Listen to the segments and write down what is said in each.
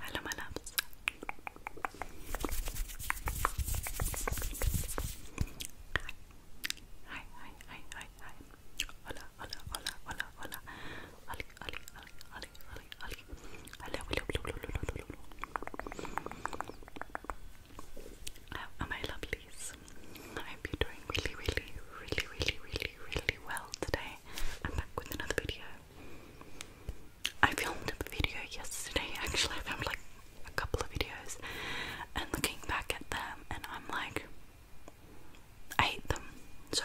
Hello, my loves. Hi. Hi, hi, hi, hi, hi. Hola, hola, hola, hola, hola. Oli, oli, oli, oli, oli, oli. Hello, hello, hello, hello, hello, hello. Am I lovelies? I hope you're doing really, really, really, really, really, really well today. I'm back with another video. I filmed a video yesterday, actually, I filmed like a couple of videos, and looking back at them, and I'm like, I hate them, so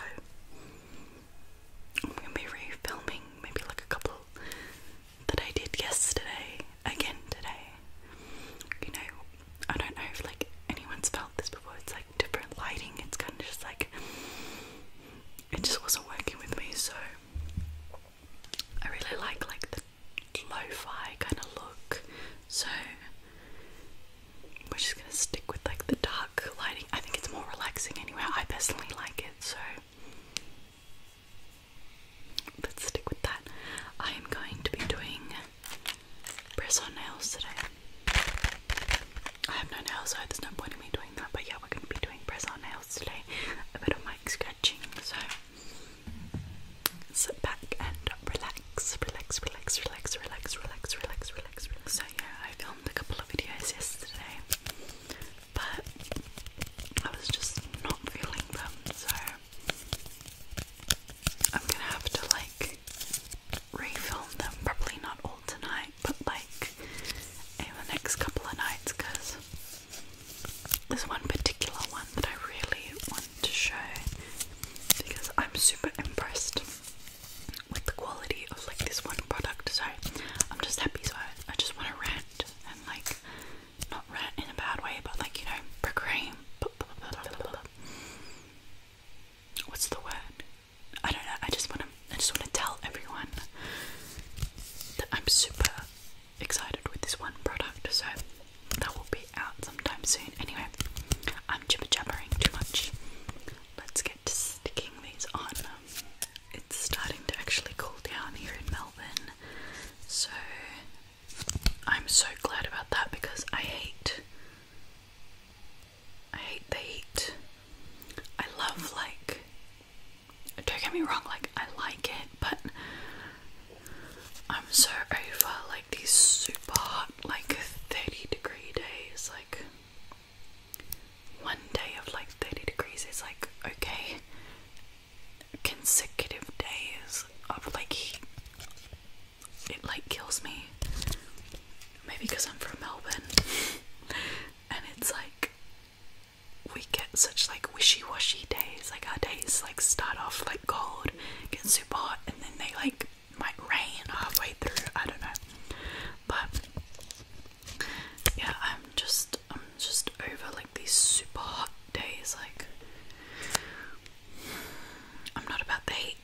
I'm gonna be re-filming maybe like a couple that I did yesterday again today. You know, I don't know if like anyone's felt this before, it's like different lighting. It's kind of just like it just wasn't working with me. So I really like like the lo-fi kind of look. So we're just gonna stick with like the dark lighting. I think it's more relaxing anyway. I personally like it. So let's stick with that. I am going to be doing press on nails today. I have no nails, so there's no point in me doing that. But yeah, we're going to be doing press on nails today. A bit of mic scratching, so sit back and relax, relax, relax, relax, relax, relax, relax, relax, relax. So yeah, I filmed a couple of videos yesterday, but I was just not feeling them, so I'm gonna have to like refilm them, probably not all tonight, but like in the next couple of nights because there's one particular one that I really want to show because I'm super impressed with the quality of like this one product so I'm just happy so I, just want to rant and like not rant in a bad way but like you know proclaim what's the word? I don't know. I just want to. I just want to tell everyone that I'm super excited with this one product. So that will be out sometime soon. Anyway, I'm jibber jabbering too much. Let's get to sticking these on. It's starting to actually cool down here in Melbourne, so I'm so glad about that because I hate I hate the heat. I love like don't get me wrong, like I like it, but I'm so over like these super hot like 30 degree days. Like one day of like 30 degrees is like okay. Consecutive days of like heat it like kills me. Maybe because I'm from Melbourne, and it's like we get such like wishy-washy days. Like our days like start off like cold, get super hot, and then they like might rain halfway through. I don't know, but yeah, I'm just I'm just over like these super hot days. Like I'm not about the heat.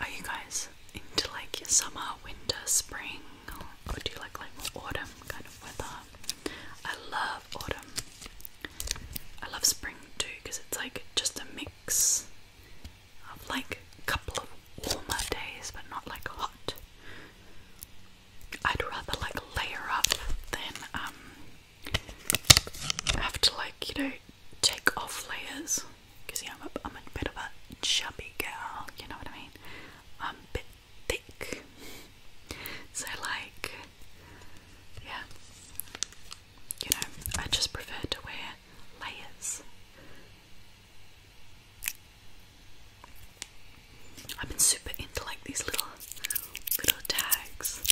Are you guys into like your summer, winter, spring, or do you like like autumn kind of weather? I love autumn. I love spring too because it's like just a mix of like a couple of warmer days, but not like hot. I'd rather like layer up than um I have to like, you know, take off layers because yeah, I'm a, I'm a bit of a chubby girl, you know what I mean? I'm a bit thick. So like, yeah, you know, I just prefer to wear layers. I've been super into like these little little tags.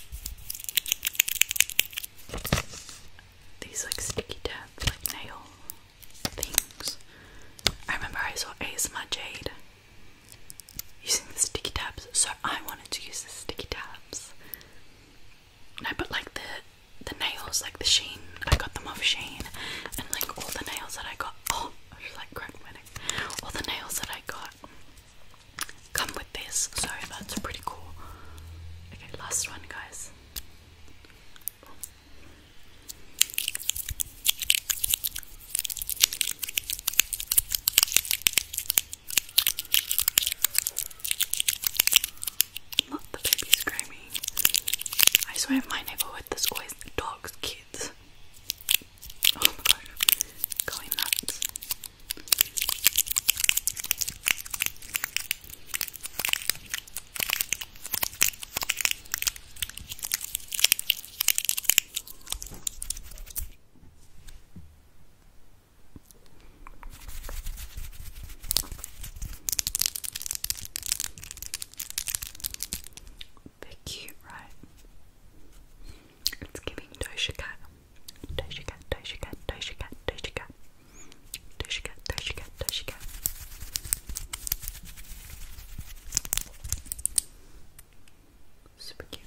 These like sticky tabs, like nail things. I remember I saw my Jade using the sticky tabs, so I wanted to use the sticky tabs. No, but like the the nails, like the sheen, I got them off Sheen, and like all the nails that I got, oh, I was like cracking All the nails that I got come with this. Sorry, that's pretty cool. Okay, last one, guys. Not the baby screaming. I swear in my neighborhood there's always dogs, kids braids. Oh my god, going nuts. They're cute, right? It's giving Doja Cat. Doja Cat, Doja Cat, Doja Cat, Doja Cat. Doja Cat, Doja Cat, Doja Cat. Super cute.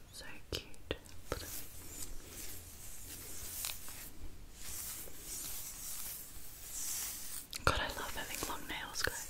So cute. God, I love having long nails, guys.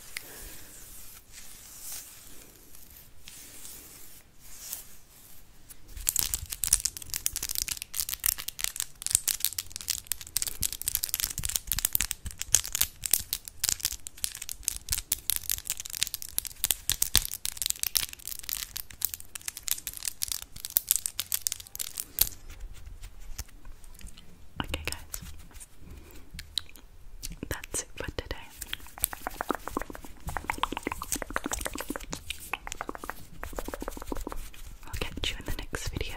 Okay, guys, that's it for today. I'll catch you in the next video.